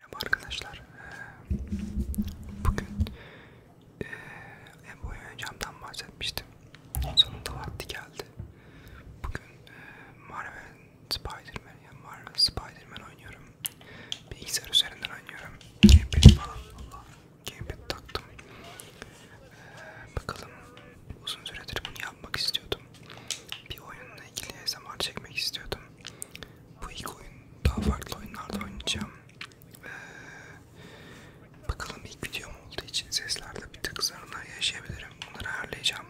Merhaba arkadaşlar, bugün ev oynayacağımdan bahsetmiştim, sonunda vakti geldi. Bugün Marvel Spider-Man, yani Marvel Spider-Man oynuyorum, bilgisayar üzerinden oynuyorum, gamepad falan, valla gamepad taktım. Bakalım, uzun süredir bunu yapmak istiyordum, bir oyunla ilgili zaman çekmek istiyordum. Bu ilk oyun daha farklı oyunlarda oynayacağım. Ee, bakalım ilk videom olduğu için seslerde bir tık zararlar yaşayabilirim. Bunları ayarlayacağım.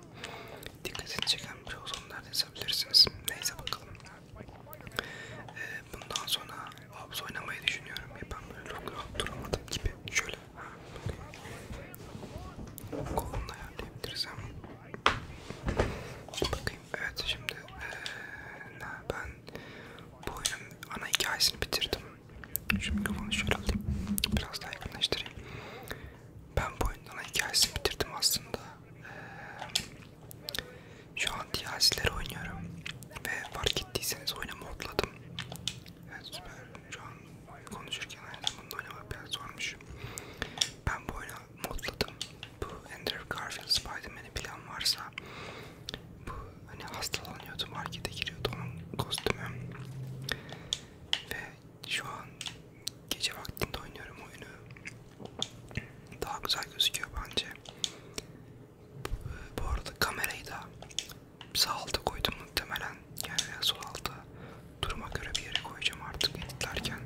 Dikkatini çeken bir şey olsa onlardan yazabilirsiniz. Neyse bakalım. Ee, bundan sonra Vabs oynamayı düşünüyorum. Ya ben böyle çok rahat duramadım gibi. Şöyle. Kolumla ayarlayabilirsem. Bakayım bakayım. Evet şimdi ee, ben bu oyunun ana hikayesini bitirdim. Şu mikrofonu şöyle alayım. Biraz daha yakınlaştırayım. Ben bu oyunun ana hikayesini bitirdim aslında. E, şu an DLC'leri oynuyorum. Ve fark ettiyseniz oyunu modladım. Evet süper. Şu an konuşurken aynen bunu oynamak biraz zormuş. Ben bu oyunu modladım. Bu Andrew Garfield Spider-Man'i plan varsa bu hani hastalanıyordu markete giriyordu onun kostümü ve şu an gece vaktinde oynuyorum oyunu daha güzel gözüküyor bence bu arada kamerayı da sağ alta koydum muhtemelen yani sol alta duruma göre bir yere koyacağım artık editlerken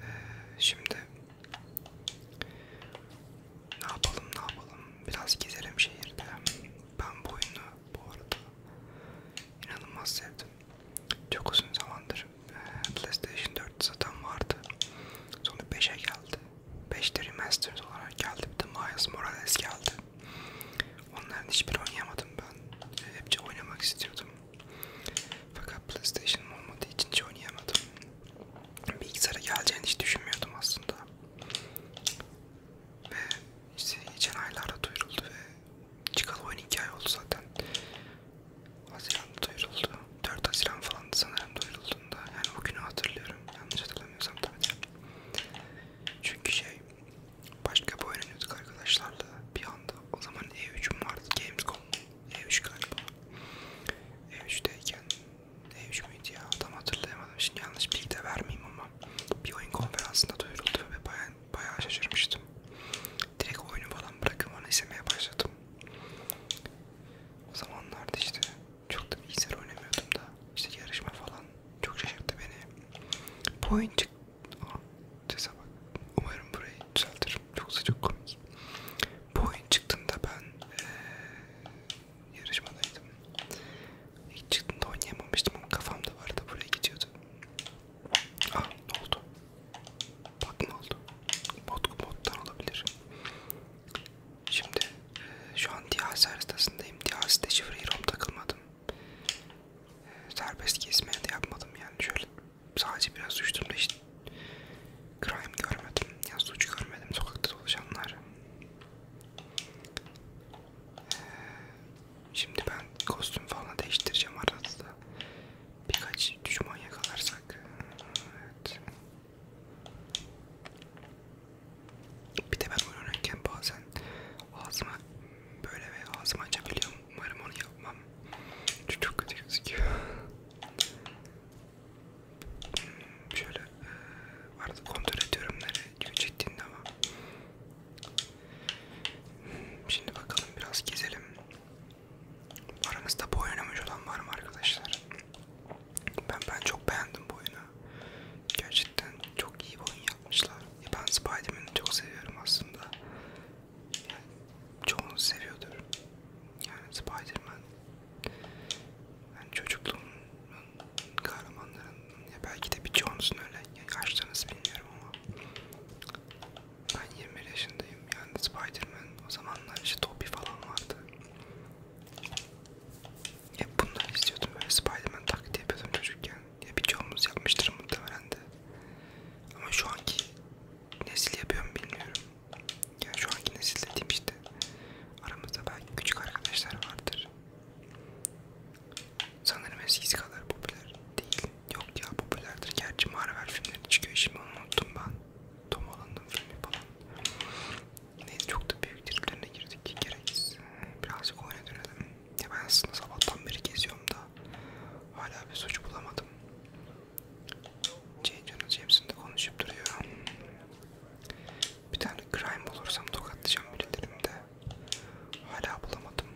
ee, şimdi ne yapalım ne yapalım biraz gezerim şehirde. Ben bu oyunu bu arada inanılmaz sevdim. Çok uzun zamandır PlayStation 4 zaten vardı. Sonra 5'e geldi. 5'te remastered olarak geldi. Bir de Miles Morales geldi. Onların hiçbir oynayamadım ben. Hepçe oynamak istiyordum. Fakat PlayStation'ım olmadığı için hiç oynayamadım. Bilgisayara geleceğini hiç düşünmüyordum aslında. Ve işte geçen aylarda duyuruldu ve çıkalı oyun 2 ay oldu zaten. Haziran'da duyuruldu. 4 Haziran falan sanırım duyurulduğunda. Yani o günü hatırlıyorum. Yanlış hatırlamıyorsam tabii de. Çünkü şey, başka bir oyun oynuyorduk arkadaşlarla bir anda. O zaman E3'üm vardı, Gamescom. E3 galiba. E3'teyken E3 müydü ya? Tam hatırlayamadım. Şimdi yanlış bilgi de vermeyeyim ama bir oyun konferansında duyuruldu ve baya, bayağı şaşırmıştım. Direkt oyunu falan bırakıp onu izlemeye başladım. O zamanlarda işte çok da bilgisayar oynamıyordum da işte yarışma falan çok şaşırttı beni. Bu oyun çıktı. Umarım burayı düzeltirim. Çok sıcak komik. Bu oyun çıktığında ben ee, yarışmadaydım. İlk çıktığında oynayamamıştım ama kafamda vardı buraya gidiyordu. Ah ne oldu? Bak ne oldu? Mod, moddan olabilir. Şimdi şu an Diyaz haritasındayım. Diyaz'da şifreyi rom takılmadım. Serbest kesmeye de yapmadım yani şöyle sadece biraz düştüm de işte crime görmedim ya suç görmedim sokakta dolaşanlar ee, şimdi ben kostüm falan değiştireceğim arada birkaç düşman yakalarsak evet. bir de ben oynarken bazen ağzıma böyle ve ağzımı açabiliyorum umarım onu yapmam çok kötü gözüküyor Şöyle e, arada kontrol ediyorum nereye çektiğinde ama. Şimdi bakalım biraz gezelim. Aramızda bu oynamış olan var mı arkadaşlar? Ben ben çok beğendim bu oyunu. Gerçekten çok iyi bir oyun yapmışlar. Ya ben Spiderman'i çok seviyorum aslında yani çoğunuz seviyordur. Yani Spiderman yani çocukluğumun kahramanlarının ya belki de birçoğunuzun öyle yani kaçtığınızı bilmiyorum ama ben 21 yaşındayım yani Spiderman o zamanlar işte Toby falan vardı. Hep bunları istiyordum böyle Spiderman taklidi yapıyordum çocukken. Ya birçoğumuz yapmıştır muhtemelen de. Ama şu anki nesil yapıyorum bilmiyorum. Yani şu anki nesil dediğim işte aramızda belki küçük arkadaşlar vardır. Sanırım eskisi kadar popüler değil. Yok ya popülerdir. Gerçi Marvel filmleri çıkıyor şimdi onu unuttum ben. Tom Holland'ın filmi falan. Neyse çok da büyük triplerine girdik. Gereksiz. Birazcık oyuna dönelim. Ya ben aslında sabahtan beri geziyorum da hala bir suç bulamadım. Cengiz hepsinde konuşup duruyor. Bir tane crime bulursam tokatlayacağım birilerimde. Hala bulamadım.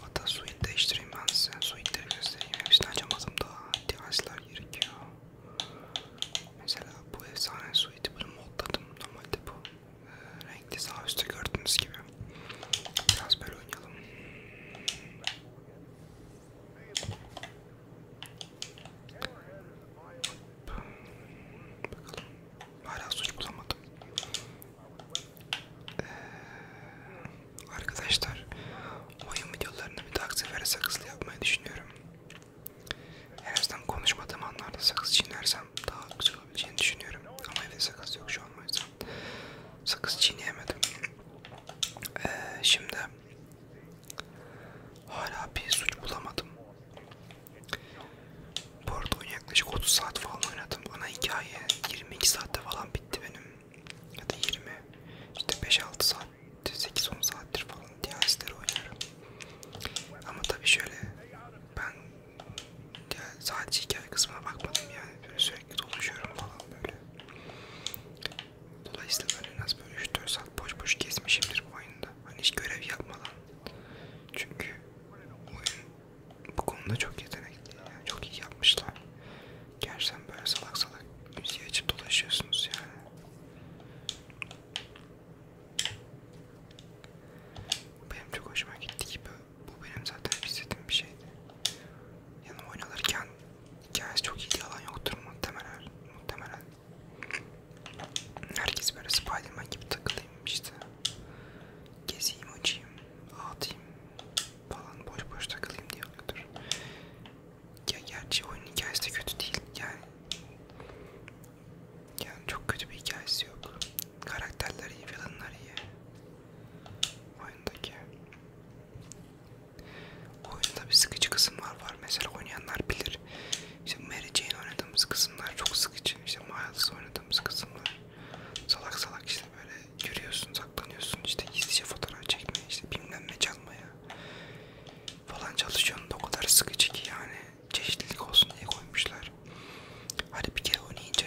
Hatta suit değiştireyim ben size. Suitleri göstereyim. Hepsini açamadım daha. Device'lar gerekiyor. Mesela bu efsane suiti bunu modladım. Normalde bu e, renkli sağ üstte gördüğünüz gibi. Biraz böyle oynayalım. Bakalım. Hala suç bulamadım. Ee, arkadaşlar oyun videolarını bir daha sefere sakızlı yapmayı düşünüyorum. En azından konuşmadığım anlarda sakız çiğnersem daha güzel olabileceğini düşünüyorum. Ama evde sakız yok şu an o yüzden sakız çiğneyemedim. Ee, şimdi hala bir suç bulamadım. Bu arada oyun yaklaşık 30 saat falan oynadım. Ana hikaye 22 saatte falan bitti benim. Ya da 20, işte 5-6 saat, 8-10 saattir falan DLC'leri oynarım. Ama tabii şöyle ben sadece hikaye kısmına bakmadım yani böyle sürekli dolaşıyorum falan böyle. Dolayısıyla ben en az böyle 3-4 saat boş boş kesmişimdir bu oyunda. Hani hiç görev yapmadan. Çünkü oyun bu konuda çok yetenekli. Yani çok iyi yapmışlar. Gerçekten böyle salak salak müziği açıp dolaşıyorsunuz yani. Benim çok hoşuma gitti gibi. Bu benim zaten hissettiğim bir şeydi yanıma oynanırken hikayesi çok iyi yalan yoktur muhtemelen. muhtemelen. Herkes böyle Spiderman gibi takılayım işte. Geziyim, uçayım, atayım falan boş boş takılayım diye oluyordur. Ya gerçi oyunun hikayesi de kötü değil yani. Yani çok kötü bir hikayesi yok. Karakterler iyi, villainlar iyi. Oyundaki. Oyunda bir sıkıcı kısımlar var. Mesela oynayanlar bilir. İşte Mary Jane oynadığımız kısımlar çok sıkıcı. İşte Miles oynadığımız kısımlar salak salak işte böyle yürüyorsun, saklanıyorsun, işte gizlice fotoğraf çekmeye, işte bilmem ne çalmaya falan çalışıyorsun da o kadar sıkıcı ki yani çeşitlilik olsun diye koymuşlar. Hadi bir kere oynayınca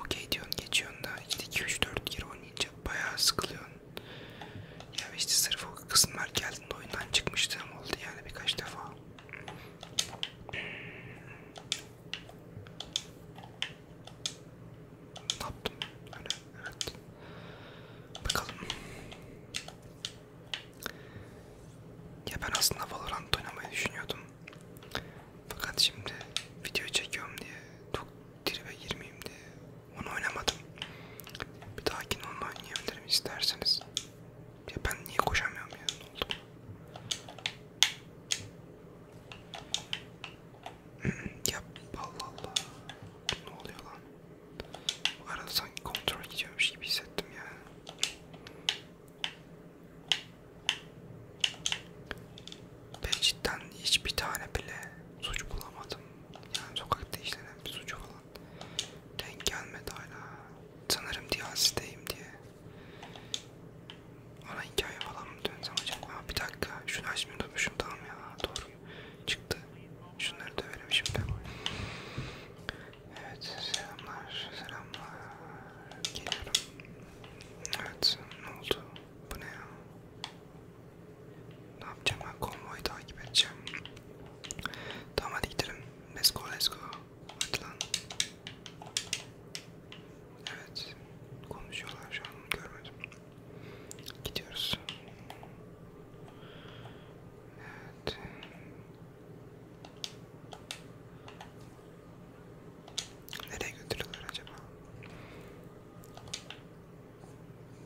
okey diyorsun geçiyorsun da işte 2-3-4 kere oynayınca bayağı sıkılıyorsun. Ya işte sırf o kısımlar geldiğinde oyundan çıkmıştım oldu yani birkaç defa. Ne yaptım? Öyle, hani, evet. Bakalım. Ya ben aslında Valorant oynamayı düşünüyordum. Fakat şimdi video çekiyorum diye çok tribe girmeyeyim diye onu oynamadım. Bir dahakine onu oynayabilirim isterseniz. Ya ben niye koşamıyorum ya ne oldu? Hmm, ya Allah Allah ne oluyor lan? Bu arada sanki kontrol gidiyormuş gibi hissettim ya ben cidden hiçbir tane bile suç bulamadım. Yani sokakta işlenen bir suç falan denk gelmedi hala. Sanırım Diyasi'deyim diye. Ona hikaye falan mı dönsem acaba? Aa, bir dakika şunu açmayı unutmuşum tamam ya doğru çıktı. Şunları döverim şimdi. Evet selamlar selamlar geliyorum. Evet ne oldu? Bu ne ya? Ne yapacağım ben? Konvoyu takip edeceğim. Tamam hadi gidelim. Let's go, let's go. Hadi lan. Evet. Konuşuyorlar şu an. Görmedim. Gidiyoruz. Evet. Nereye götürüyorlar acaba?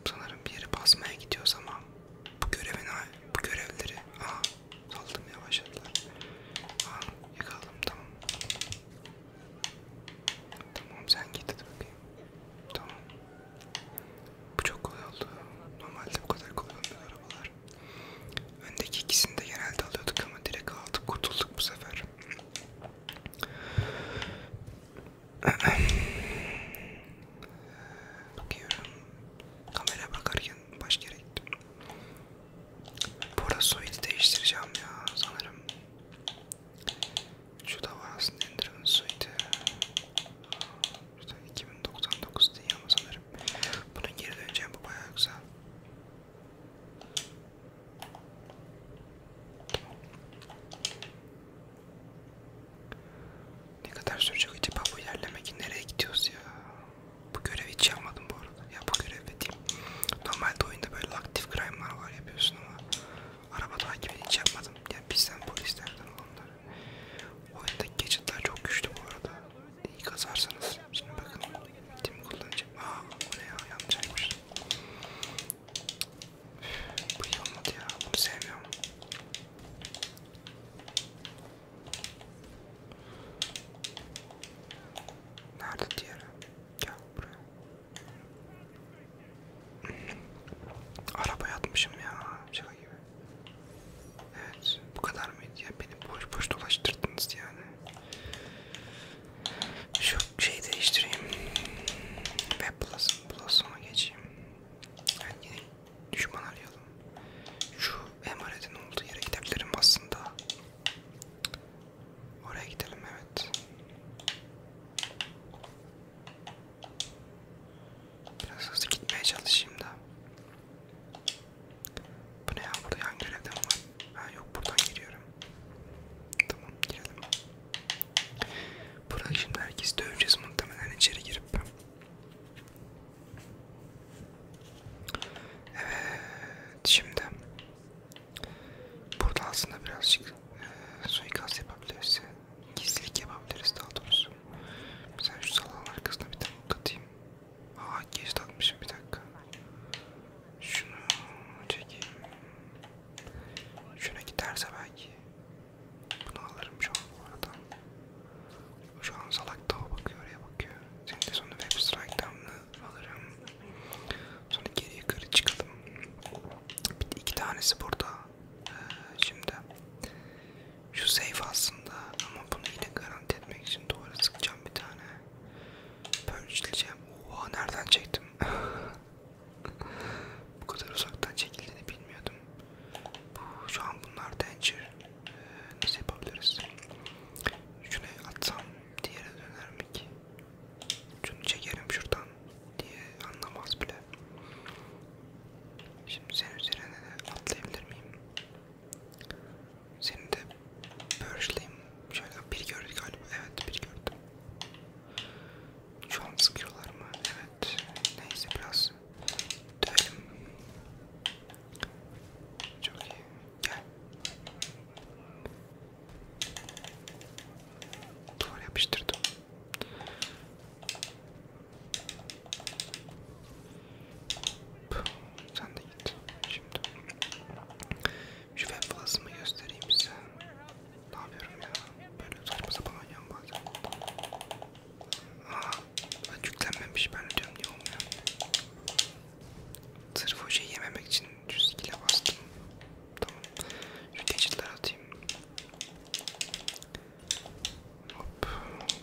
Sanırım bir yeri basmaya gidiyoruz ama bu görevin bu görevleri aa saldım yavaşladılar. Aa yakaladım tamam. Tamam sen git hadi bakayım. Tamam. Bu çok kolay oldu. Normalde bu kadar kolay olmuyor arabalar. Öndeki ikisini de genelde alıyorduk ama direkt aldık kurtulduk bu sefer. Bakıyorum. Kamera bakarken baş yere gittim. Borasoid'i değiştireceğim ya sanırım. Şu da var aslında Ender'ın suiti. İşte 2099 diye ama sanırım. Bunun geri döneceğim bu bayağı güzel. Ne kadar sürecek acaba bu ilerleme ki nereye gidiyoruz ya? Bu görevi hiç yapmadım bu arada. Ya bu görev dediğim. Normalde oyunda böyle aktif crime'lar var yapıyorsun ama araba takibini hiç yapmadım. Yani bizden polislerden olanlar. Oyundaki gadgetlar çok güçlü bu arada. İyi kazarsanız. Şimdi bakın. Tim kullanacağım. Aa o ne ya yanlış yapmışım. Bu iyi olmadı ya. Bunu sevmiyorum. Nerede diğeri? Gel buraya. Arabaya atmışım ya. Şaka şey gibi. Evet. Bu kadar mıydı ya? Beni boş boş dolaştırdınız yani. Şu şeyi değiştireyim. Ve plus, plus'uma geçeyim. Yani yine düşman arayalım. Şu emanetin olduğu yere gidebilirim aslında. Oraya gidelim evet. Biraz hızlı gitmeye çalışayım da. Bu ne ya burada hangi görevden var? Ha yok buradan giriyorum. Tamam girelim. Buradan şimdi herkesi döveceğiz muhtemelen içeri girip. Evet şimdi burada aslında birazcık e, suikast yapabiliriz. Gizlilik yapabiliriz daha doğrusu. Mesela şu salonun arkasına bir tane katayım. Aa geç atmışım bir dakika. Şunu çekeyim. Şuna giderse belki bunu alırım şu an bu arada. Şu an salak dağa bakıyor, oraya bakıyor. Şimdi de sonra web strike'dan alırım. Sonra geri yukarı çıkalım. Bir, iki tanesi burada. Ee, şimdi şu safe aslında ama bunu yine garanti etmek için duvara sıkacağım bir tane. Purge'leyeceğim. Oha nereden çektim? Bu kadar uzaktan çekildiğini bilmiyordum. Bu, şu an bunlar danger. Ee, nasıl yapabiliriz? Şunu atsam diğeri döner mi ki? Şunu çekerim şuradan diye anlamaz bile. Şimdi senin üzerine de atlayabilir miyim? Seni de börsleyin. Şöyle bir gördük galiba. Evet bir gördüm. Şu an sıkıyorlar mı? Evet. Neyse biraz dövelim. Çok iyi. Gel. Duvar yapıştırdım. Puh, sen de git. Şimdi şu web göstereyim size. Ne yapıyorum ya? Böyle saçma sapan oynuyorum bazen. Aa, ben yüklenmemiş ben diyorum niye olmuyor? Sırf o şeyi yememek için 100 kilo bastım. Tamam. Şu geçitler atayım. Hop.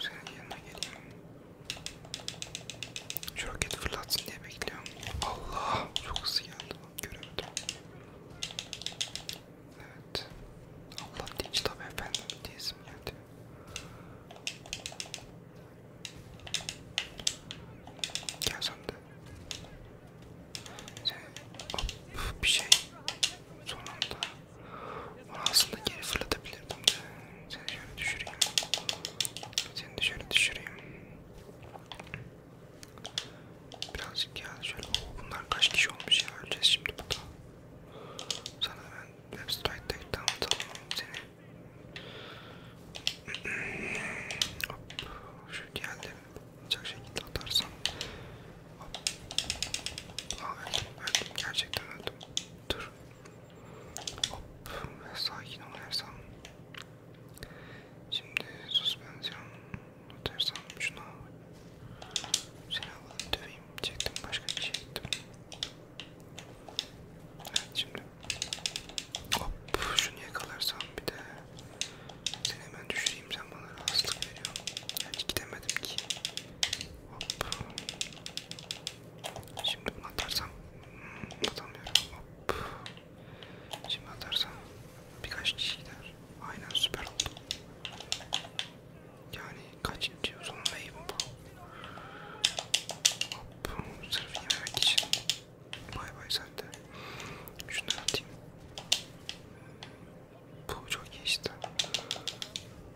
Senin yanına geleyim. Şu roket fırlatsın diye bekliyorum. Allah! Çok hızlı geldi. Göremedim. Evet. Allah dinç tabi efendim diyesim geldi. Gel sen de. Sen hop bir şey sonunda. Onu aslında geri fırlatabilirdim de. Seni şöyle düşüreyim. Seni de şöyle düşüreyim. Birazcık ya şöyle o bunlar kaç kişi olmuş ya öleceğiz şimdi burada. Sana ben web site'de tanıtalım seni. Hop şu geldim. Çok şekilde atarsam. Hop. Aa, öldüm, öldüm gerçekten öldüm. Dur. Hop sakin ol Ersan. Şimdi suspensiyon bunu ters aldım şunu Seni alalım döveyim çektim başka bir şey ettim Evet şimdi Hop şunu yakalarsam bir de Seni hemen düşüreyim sen bana rahatsızlık veriyorsun Yani gidemedim ki Hop Şimdi bunu atarsam hmm, atamıyorum hop Şimdi atarsam birkaç kişi gider Aynen süper oldu. Yani kaçıncı uzunlayım bu? Hop, sırf yememek için. Bay bay sen de. Şunları atayım. Bu çok iyi işte.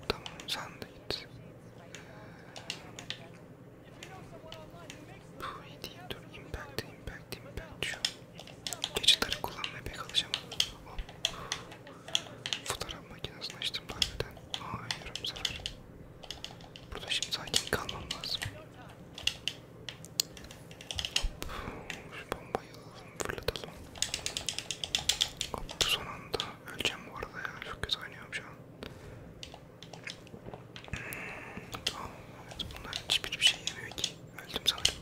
Tamam sen de git. Bu iyi değil. Dur impact impact impact şu. Geçitleri kullanmaya pek alışamam. Hop. Fotoğraf makinesini açtım harbiden. Aa ölüyorum bu sefer. Burada şimdi sakin kalmam lazım. Hop. Şu bombayı alalım fırlatalım. Hop son anda öleceğim bu arada ya. Çok kötü oynuyorum şu an. Hmm, tamam evet bunlar hiçbir bir şey yemiyor ki. Öldüm sanırım.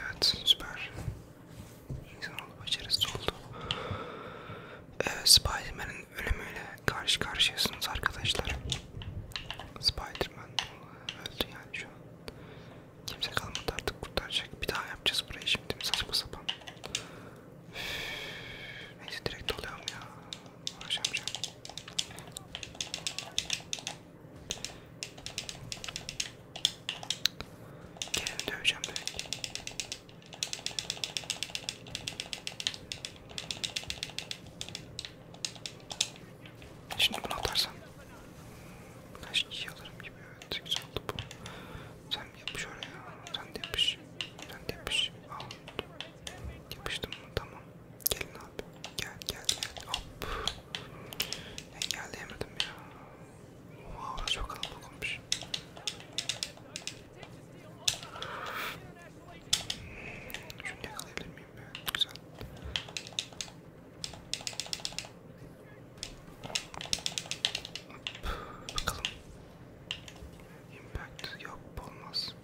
Evet süper. İnsan oldu başarısız oldu. Ee, Spiderman'in ölümüyle karşı karşıyasınız arkadaşlar. Spiderman öldü yani şu an. Kimse kalmadı artık kurtaracak. Bir daha yapacağız burayı şimdi saçma sapan. Neyse direkt oluyorum ya. Uğraşamayacağım. Gelin döveceğim belki. Şimdi bunu atarsam kaç kişi alırım gibi evet güzel oldu bu. Sen yapış oraya, sen de yapış, sen de yapış. Al. Yapıştım mı? Tamam. Gelin abi. Gel gel gel. Hop. Engelleyemedim ya. Oha çok kalabalık olmuş. Şunu yakalayabilir miyim ya? Güzel. Hop. Bakalım. Impact yok olmaz.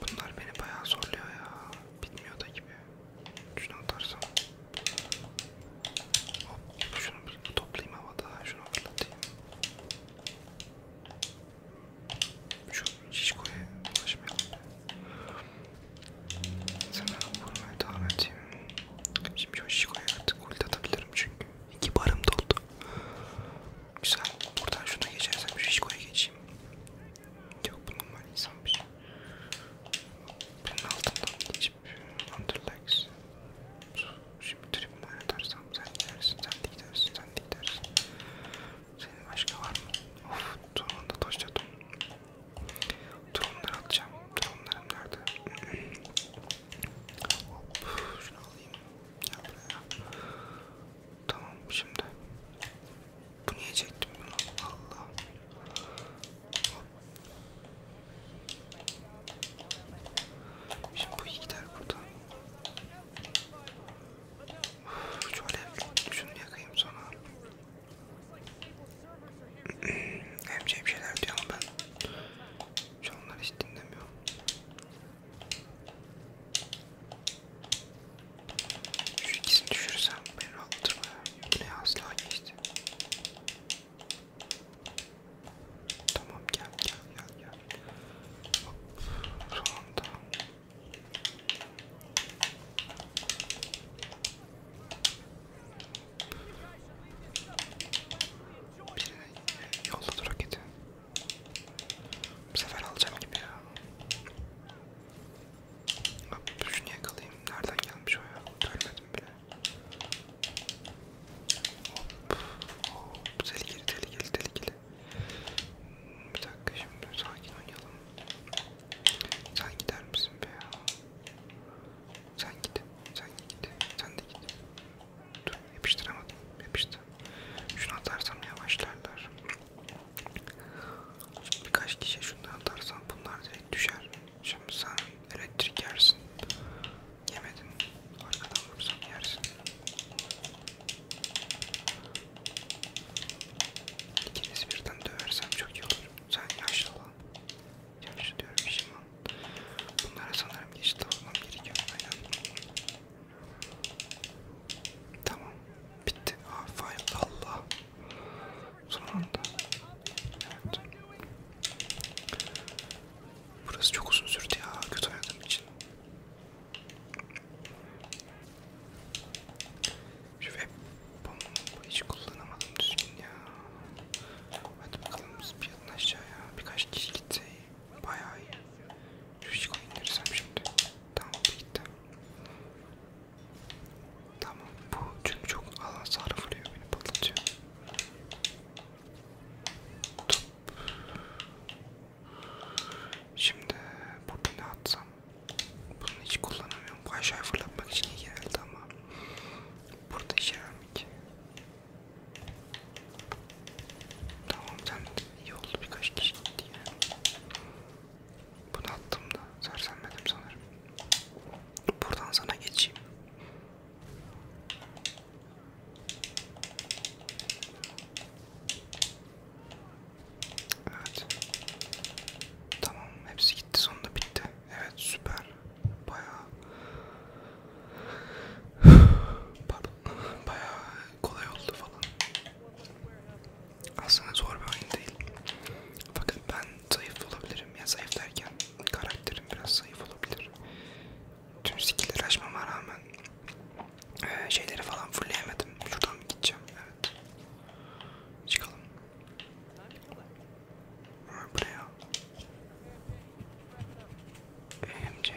Bunlar beni bayağı zorluyor ya. Bitmiyor da gibi. Şunu atarsam. Hop şunu toplayayım havada. Şunu atlatayım. Şu şişkoya ulaşmayalım. Sana vurmaya devam edeyim. Şimdi o şişkoya artık ulti atabilirim çünkü. İki barım doldu. Güzel. Buradan şuna geçersem şu şişkoya geçeyim. Yok bu normal insanmış. Bunun altından geçip underlegs. Şimdi tribüme oynatarsam sen gidersin, sen de gidersin, sen de gidersin. Senin başka var mı? Of turunda toşladım. Dronları atacağım. Dronlarım nerede? Hop, şunu alayım. Gel buraya. Tamam şimdi. Bu niye çektim bunu? Allah. Hop. Şimdi bu iyi gider buradan. Şu alev şunu yakayım sonra. Hemce şey bir şeyler diyor ama ben şu anlar hiç dinlemiyorum. Şu ikisini düşürsem beni rahatlatır mı? Bu ne asla geçti. Tamam gel gel gel gel. Hop şu anda. Birine yolladı roketi. Bu sefer alacağım gibi ya. Bak şunu yakalayayım. Nereden gelmiş o ya? Görmedim bile. Hop. Hop. Tehlikeli tehlikeli tehlikeli. Bir dakika şimdi sakin oynayalım. Sen gider misin be ya? Sen git. Sen git. Sen de git. Dur yapıştıramadım. Yapıştı. Şunu atarsam yavaşlarlar. Birkaç kişi şundan atarsam bunlar direkt düşer. Şimdi sen elektrik yersin. Yemedin. Arkadan vursam yersin. İkiniz birden döversem çok iyi olur. Sen yaşlı olan. Yanlış diyorum şimdi. Bunlara sanırım yeşil almam gerekiyor. Aynen. Tamam. Bitti. Aa file. Allah. Son anda. Evet. Burası çok uzun sürdü ya. Kötü oynadığım için. Şu web bombu hiç kullanamadım düzgün ya. Hadi bakalım biz bir aşağıya. Birkaç kişi gitti iyi. Bayağı iyi. Şu hiç indirsem şimdi. Tamam bu gitti. Tamam bu çünkü çok alan sarfılıyor beni patlatıyor. Top. Şimdi burada ne atsam? Bunu hiç kullanamıyorum. Bu aşağıya fırlatmak için iyi geldi ama burada işe yaramıyor ki. Tamam sen iyi oldu birkaç kişi gitti yani. Bunu attım da sersenmedim sanırım. Buradan sana geçeyim. Evet. Tamam hepsi gitti sonunda bitti. Evet süper. Bayağı Pardon. Bayağı kolay oldu falan. Aslında zor bir oyun değil. Fakat ben zayıf olabilirim. Ya zayıf derken karakterim biraz zayıf olabilir. Tüm skill'leri açmama rağmen e, şeyleri falan fullleyemedim. Şuradan mı gideceğim? Evet. Çıkalım. Buraya. AMC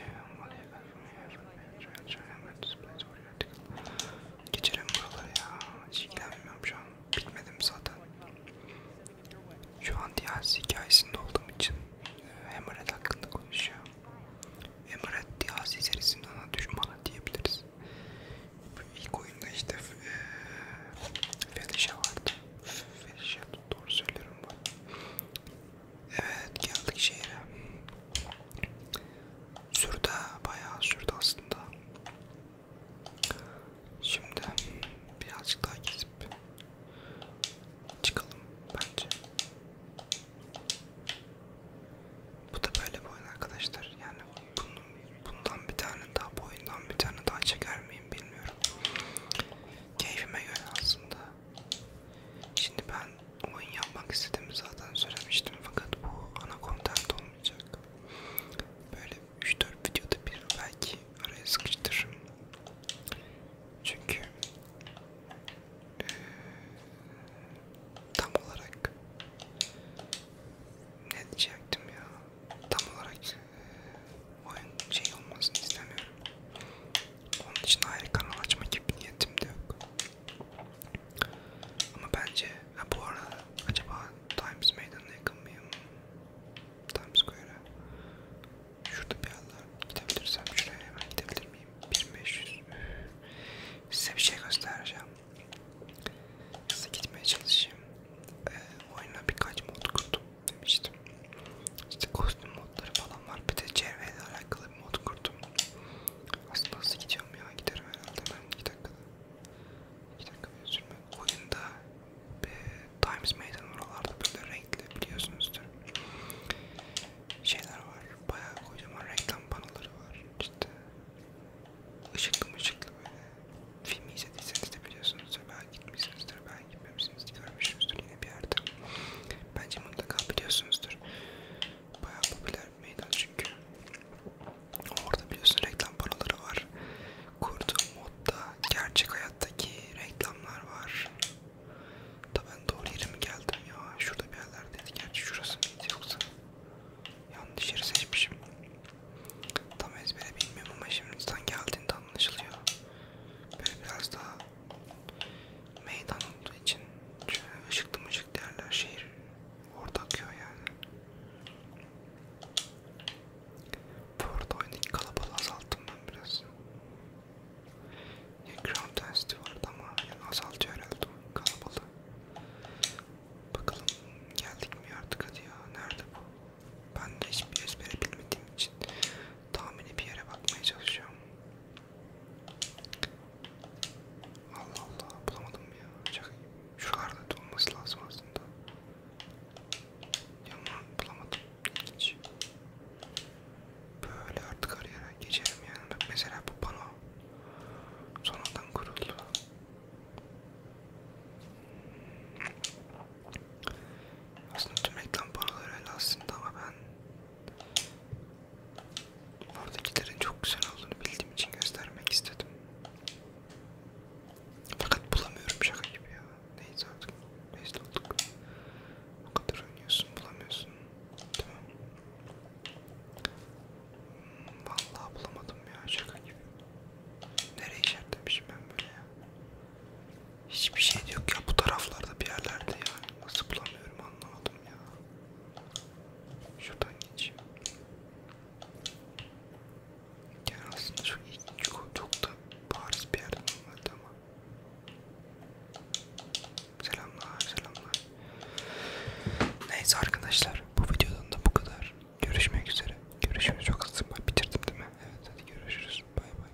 Geçelim buraları ya. Hiç ilgilenmiyorum şu an. Bitmedim zaten. Şu an DLC hikayesinde olduğum için Emret hakkında konuşuyor. Emret DLC serisinin ana düşmanı diyebiliriz. İlk oyunda işte e, Felicia vardı. Felicia doğru söylüyorum bu. Evet geldik şehre. Sürdü bayağı sürdü aslında. Şimdi birazcık daha gezip çıkalım bence. Bu da böyle bir oyun arkadaşlar. Yani bunun, bundan bir tane daha, bu oyundan bir tane daha çeker miyim bilmiyorum. Keyfime göre aslında. Şimdi ben oyun yapmak istediğimi zaten söylemiştim fakat bu ana kontent olmayacak. Böyle 3-4 videoda bir belki araya sıkıştırırım. Çünkü e, tam olarak ne diyecektim ya tam olarak e, oyun şey olmasını istemiyorum. Onun için ayrı kanal açma gibi niyetim de yok. Ama bence ha bu arada acaba Times Meydanı'na yakın mıyım? Times Square'a. Şurada bir yerler gidebilirsem şuraya hemen gidebilir miyim? 1500. Size bir şey göstereceğim. Hızlı gitmeye çalışayım. Ee, oyuna birkaç mod kurdum demiştim. İşte kostüm modları falan var. Bir de çevreyle alakalı bir mod kurdum. Aslında nasıl gidiyorum ya? Giderim herhalde ben 2 dakikada. 2 dakika bile sürmüyor. Oyunda e, Times Meydan oralarda böyle renkli biliyorsunuzdur. Şeyler var. Bayağı kocaman reklam panoları var. İşte ışıklı mışıklı böyle. Film izlediyseniz de biliyorsunuzdur. Belki gitmişsinizdir. Belki gitmemişsinizdir hepsiniz görmüşsünüzdür yine bir yerde. Bence mutlaka biliyorsunuzdur. Bayağı popüler bir meydan çünkü. Orada biliyorsun reklam panoları var. Kurduğum modda gerçek hayattaki reklamlar var. Da ben doğru yere mi geldim ya? Şurada bir yerlerdeydi. Gerçi şurası mıydı yoksa? Yanlış yeri seçmişim. Tam ezbere bilmiyorum ama şimdi insan geldiğinde anlaşılıyor. Böyle biraz daha meydan olduğu için şöyle ışıklı mışıklı yerler şehir orada akıyor yani. Bu arada oyundaki kalabalığı azalttım ben biraz. Ya ground density vardı ama yani azaltıyor herhalde o kalabalığı. Bakalım geldik mi artık hadi ya nerede bu? Ben de hiçbir ezbere bilmediğim için tahmini bir yere bakmaya çalışıyorum. Allah Allah bulamadım ya. Çok şuralarda olması lazım aslında. Yaman bulamadım. Hiç. Böyle artık arayana geçerim yani. Bak mesela bu pano sonradan kuruldu. Aslında tüm reklam panoları öyle aslında ama ben Oradakilerin çok güzel olduğunu bildiğim için göstermek istedim. Fakat bulamıyorum şaka gibi ya. Neyse artık. Neyse olduk. O kadar oynuyorsun bulamıyorsun. Tamam. Hmm, vallahi bulamadım ya şaka gibi. Nereye işaretlemişim ben böyle ya. Hiçbir şey yok ya bu taraflarda bir yerlerde ya. Nasıl bulamıyorum anlamadım ya. Şuradan geçeyim. Yani aslında çok, çok, çok da bariz bir yerden olmadı ama. Selamlar selamlar. Neyse arkadaşlar bu videodan da bu kadar. Görüşmek üzere. Görüşürüz çok hızlı bitirdim değil mi? Evet hadi görüşürüz. Bay bay.